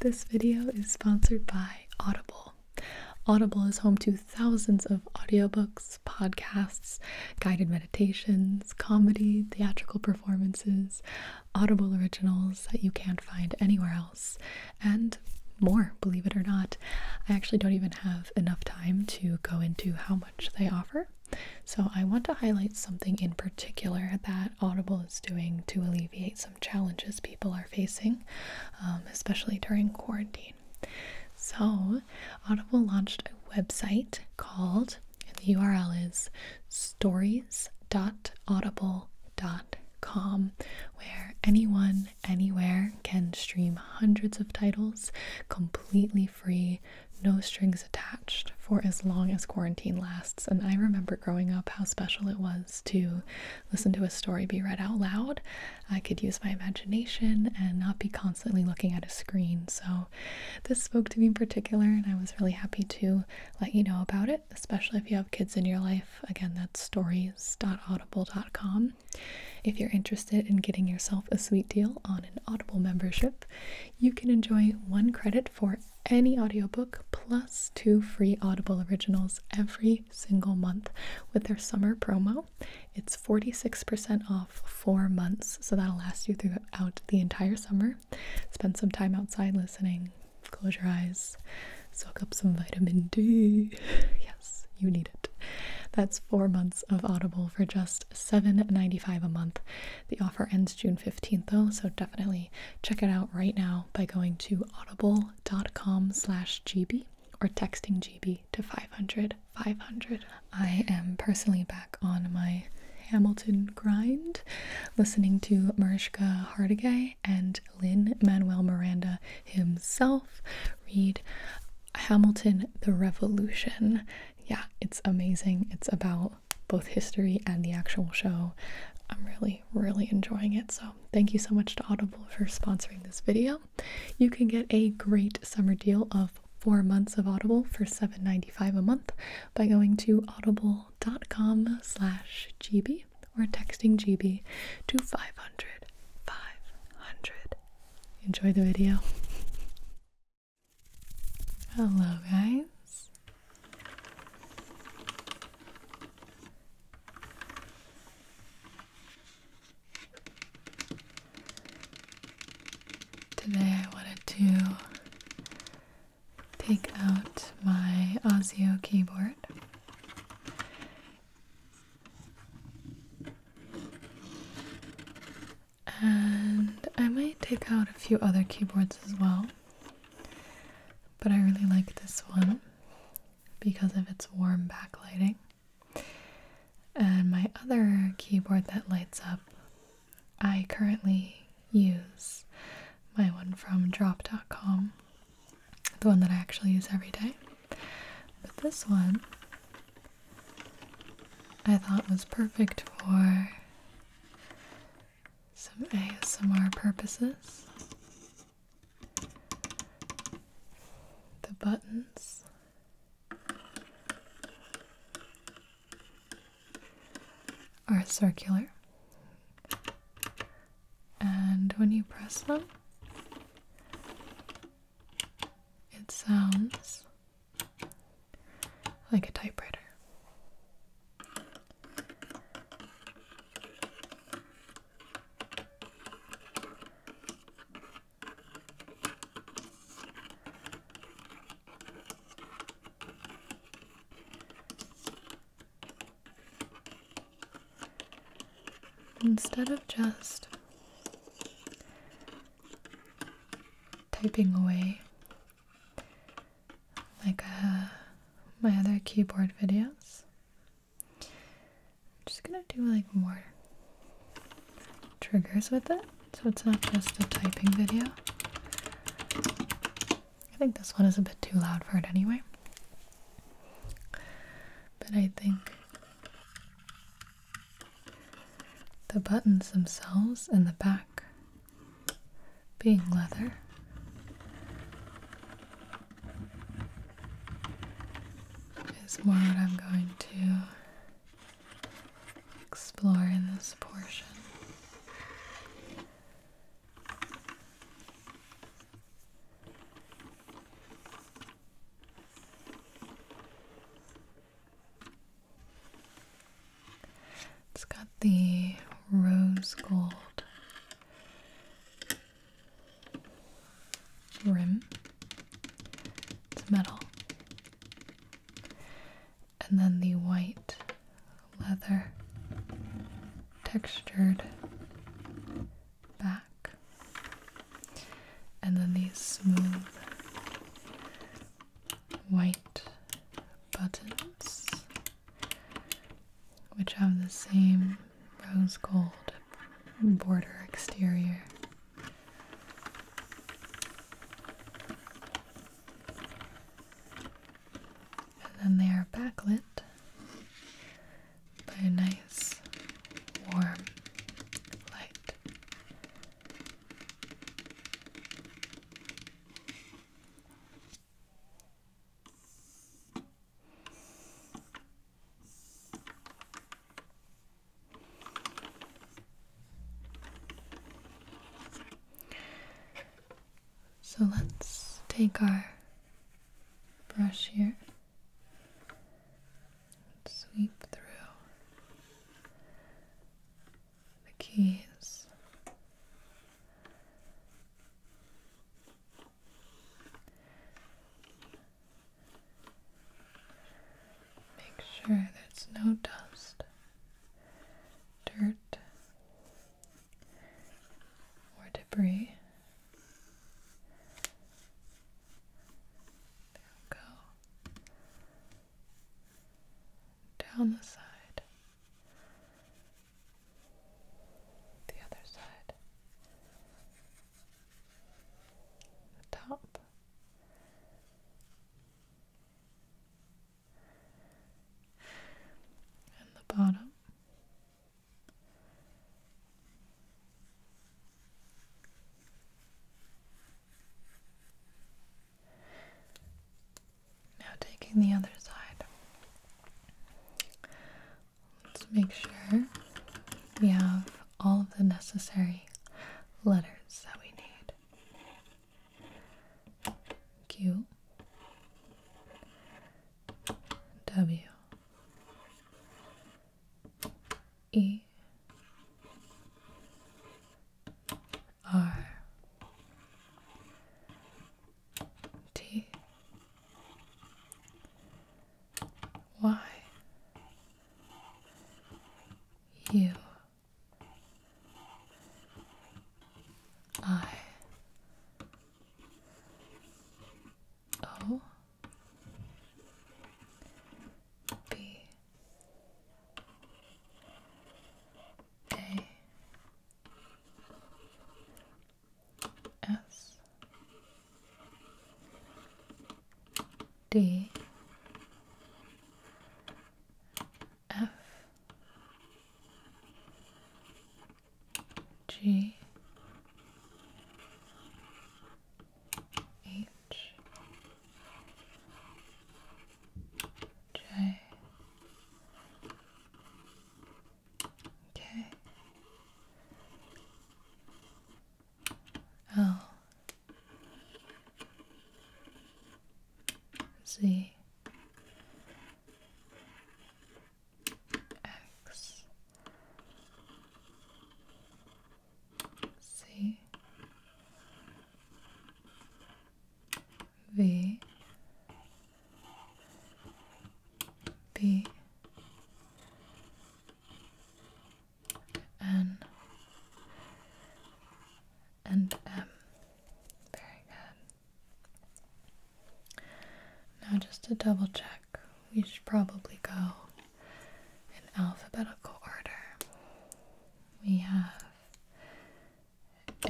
This video is sponsored by Audible. Audible is home to thousands of audiobooks, podcasts, guided meditations, comedy, theatrical performances, Audible originals that you can't find anywhere else, and more, believe it or not. I actually don't even have enough time to go into how much they offer. So, I want to highlight something in particular that Audible is doing to alleviate some challenges people are facing, um, especially during quarantine. So, Audible launched a website called, and the URL is stories.audible.com, where anyone, anywhere can stream hundreds of titles completely free, no strings attached, for as long as quarantine lasts and I remember growing up how special it was to listen to a story be read out loud. I could use my imagination and not be constantly looking at a screen. So this spoke to me in particular, and I was really happy to let you know about it, especially if you have kids in your life. Again, that's stories.audible.com. If you're interested in getting yourself a sweet deal on an Audible membership, you can enjoy one credit for any audiobook plus two free Audible originals every single month with their summer promo. It's 46% off four months, so that'll last you throughout the entire summer. Spend some time outside listening, close your eyes, soak up some vitamin D. yes, you need it. That's four months of Audible for just $7.95 a month. The offer ends June 15th though, so definitely check it out right now by going to audible.com slash gb or texting GB to 500 500. I am personally back on my Hamilton grind, listening to Mariska Hargitay and Lin Manuel Miranda himself read Hamilton the Revolution. Yeah, it's amazing. It's about both history and the actual show. I'm really, really enjoying it. So, thank you so much to Audible for sponsoring this video. You can get a great summer deal of four months of Audible for seven ninety five a month by going to audible.com slash GB or texting GB to 500 500. Enjoy the video. Hello guys. Today I wanted to take out my Ozio keyboard. And I might take out a few other keyboards as well. But I really like this one because of its warm backlighting. And my other keyboard that lights up, I currently use my one from drop.com, the one that I actually use every day. But this one I thought was perfect for some ASMR purposes. The buttons. Are circular, and when you press them, it sounds like a typewriter. Instead of just typing away like uh, my other keyboard videos. I'm just gonna do like more triggers with it so it's not just a typing video. I think this one is a bit too loud for it anyway. But I think the buttons themselves in the back being leather. Is more what I'm going to explore in this portion. It's got the rose gold rim. It's metal. And then the white leather textured back. And then these smooth white buttons, which have the same rose gold border exterior. And then they are backlit by a nice warm light. So let's take our brush here and sweep through the keys. Make sure there's no dust, dirt, or debris. There we go. Down the side. The other side, the top, and the bottom. Now taking the other side. Let's make sure we have all of the necessary letters that we need. Q W E R T Y U I O B a S D F G H J K L Z X C V B N and M. Very good. Now, just to double check, we should probably go in alphabetical order. We have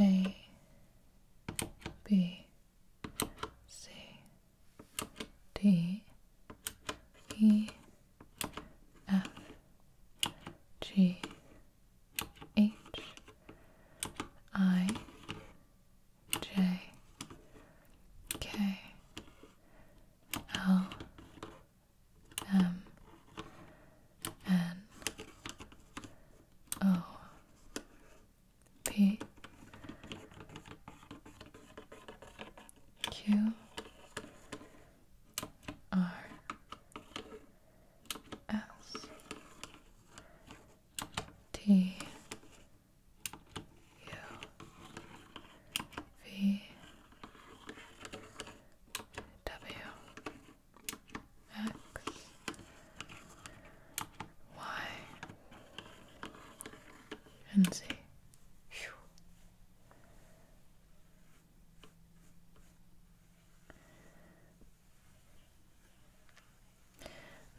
a B C D E F G H I J K L M um, N O oh, P Q R S T U V W X, Y, and Z.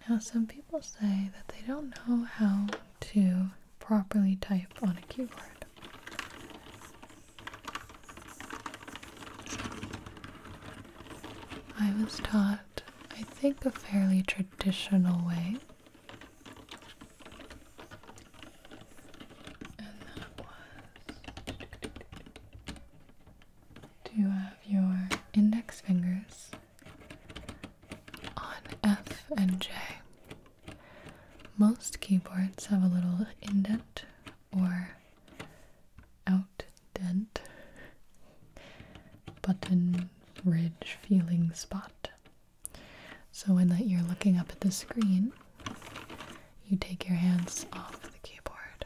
Now, some people say that they don't know how to properly type on a keyboard. I was taught, I think, a fairly traditional way. And that was to have your index fingers on F and J. Most keyboards have a little indent or out dent button ridge feeling spot. So when that you're looking up at the screen, you take your hands off the keyboard.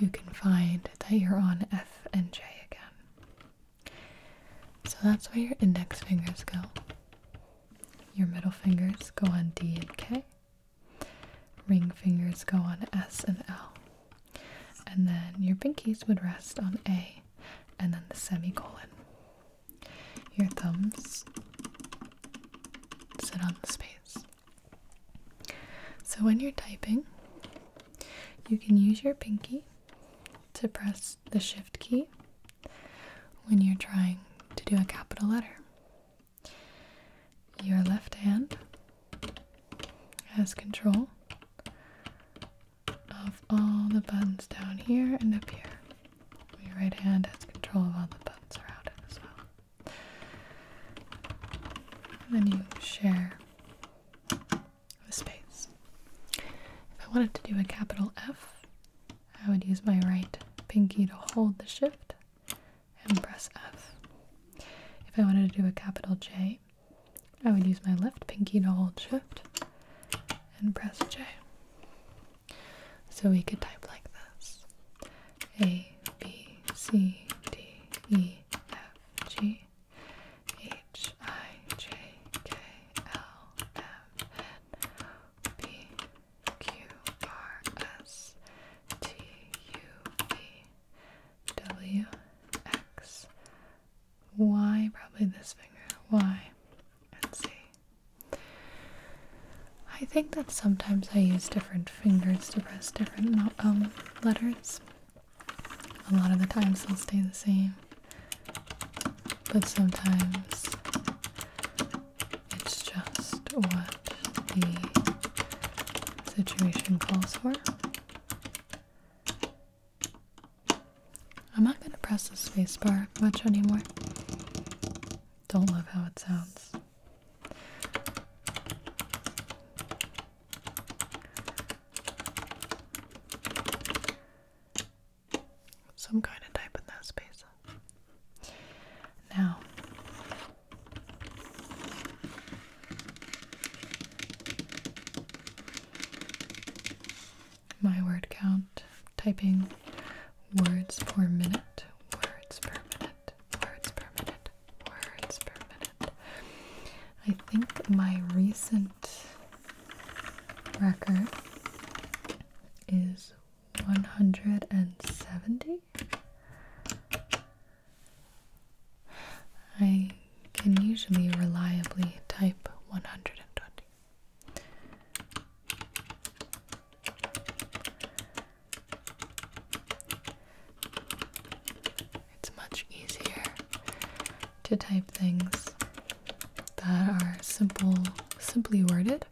You can find that you're on F and J again. So that's where your index fingers go. Your middle fingers go on D and K. Ring fingers go on S and L. And then your pinkies would rest on A and then the semicolon. Your thumbs sit on the space. So when you're typing, you can use your pinky to press the shift key when you're trying to do a capital letter. Your left hand has control of all the buttons down here and up here. Your right hand has control of all the buttons around it as well. And then you share the space. If I wanted to do a capital F, I would use my right pinky to hold the shift and press F. If I wanted to do a capital J, I would use my left pinky to hold shift and press J. So we could type like this A B C D E F G H I J K L M N O P. Q R S T U V W X Y, probably this finger, Y, and Z. I think that sometimes I use different fingers to press different um, letters. A lot of the times they'll stay the same, but sometimes it's just what the situation calls for. I'm not going to press the spacebar much anymore. Don't love how it sounds some kind of type in that space. Now, my word count typing words per minute, words per minute, words per minute, words per minute. I think my recent record is 170? I can usually reliably type 120. It's much easier to type things that are simple, simply worded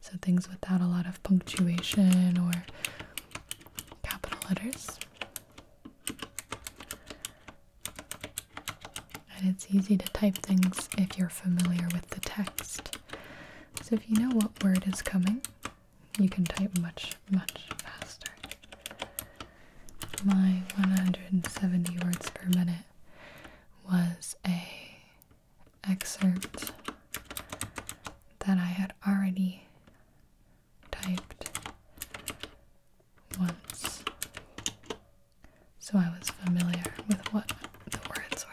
so things without a lot of punctuation or capital letters. And it's easy to type things if you're familiar with the text. So if you know what word is coming, you can type much, much faster. My 170 words per minute was a excerpt that I had already typed once, so I was familiar with what the words were.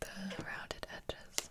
The rounded edges.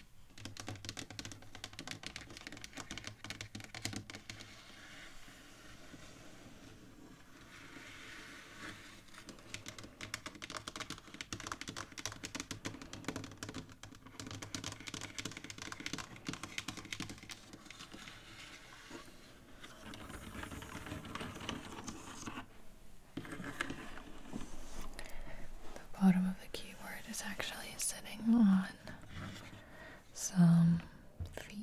The bottom of the keyboard is actually sitting on some feet.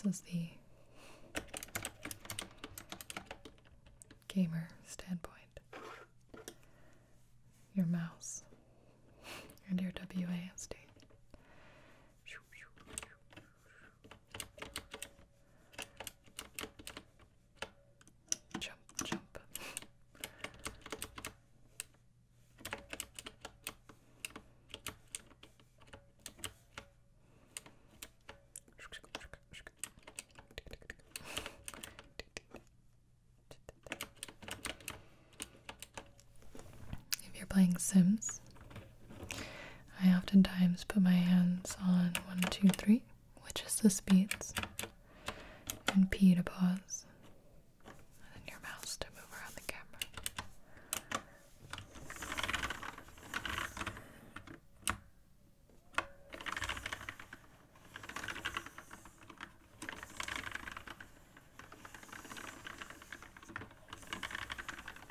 This is the gamer standpoint. Your mouse and your WASD. If you're playing Sims, I oftentimes put my hands on one, two, three, which is the speeds, and P to pause, and your mouse to move around the camera.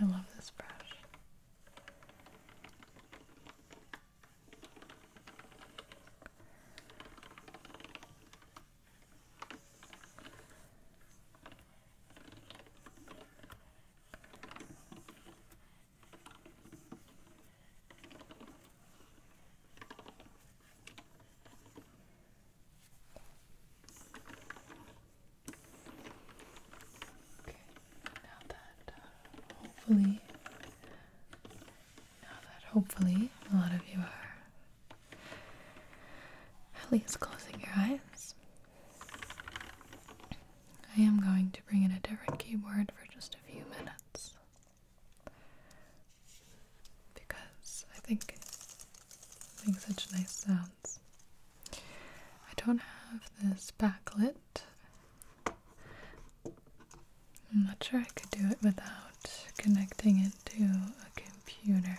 I love this brush now that uh, hopefully, now that hopefully a lot of you are at least closing your eyes, I am going to bring in a different keyboard for just a few minutes because I think it makes such nice sounds. I don't have this backlit. I'm not sure I could do it without connecting it to a computer.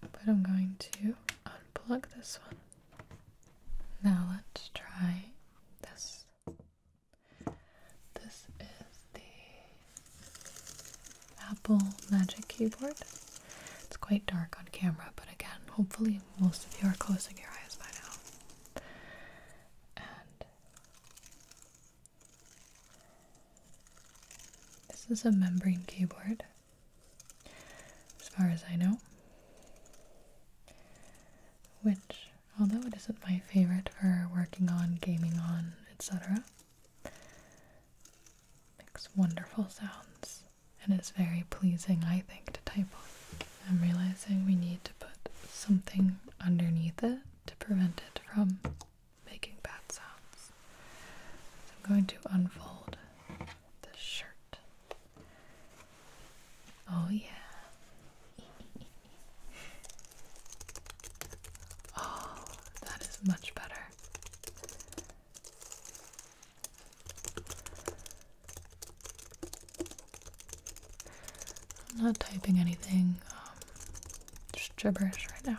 But I'm going to unplug this one. Now let's try this. This is the Apple Magic Keyboard. It's quite dark on camera, but again, hopefully, most of you are closing your eyes by now. And this is a membrane keyboard, as far as I know, which, although it isn't my favorite for working on, gaming on, etc., Makes wonderful sounds and is very pleasing, I think, to type on. I'm realizing we need to put something underneath it to prevent it from making bad sounds. I'm going to unfold the shirt. Oh, yeah. Oh, that is much better. I'm not typing anything, just um, gibberish right now.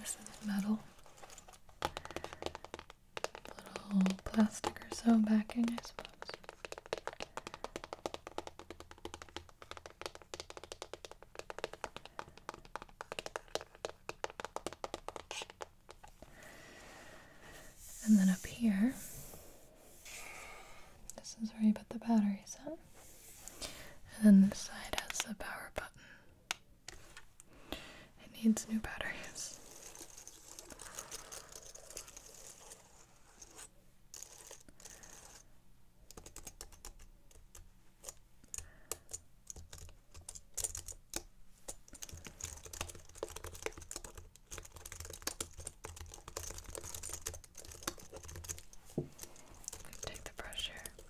This is metal. Little plastic or so backing, I suppose. And then up here, this is where you put the batteries in. And then this side has the power button. It needs new batteries. Take the brush here.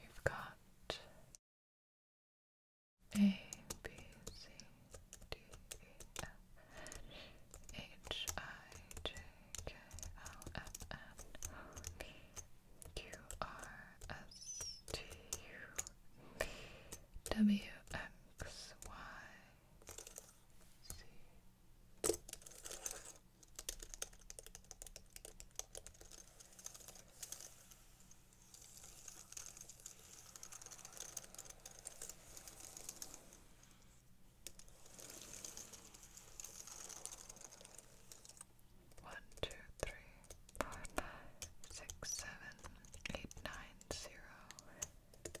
We've got A, B, C, D, E, F, H, I, J, K, L, M, N, O, P, Q, R, S, T, U, V, W, X, Y, see. One, two, three, four, five, six, seven, eight, nine, zero.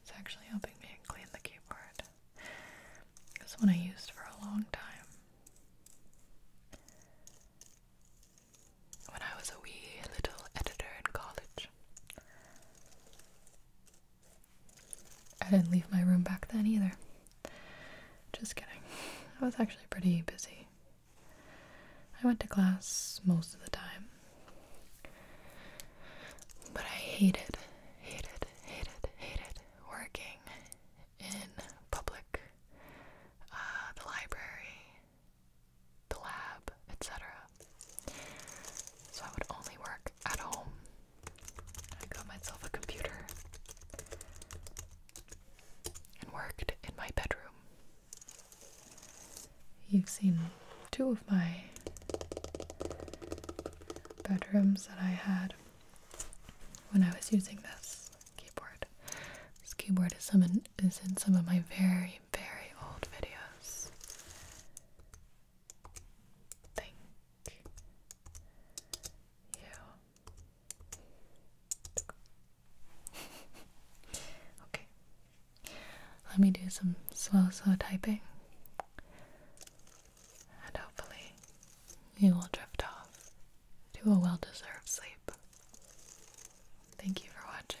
It's actually helping me clean the keyboard. This one I used for a long time. When I was a wee little editor in college. I didn't leave my room back then either. Just kidding. I was actually pretty busy. I went to class most of the time. But I hated, hated, hated, hated working in public, uh, the library, the lab, etc. So I would only work at home I got myself a computer and worked in my bedroom. You've seen two of my bedrooms that I had when I was using this keyboard. This keyboard is, in, some of my very, very old videos. I you okay. Let me do some slow, slow typing. And hopefully, you will drift off to a well deserved sleep. Thank you for watching.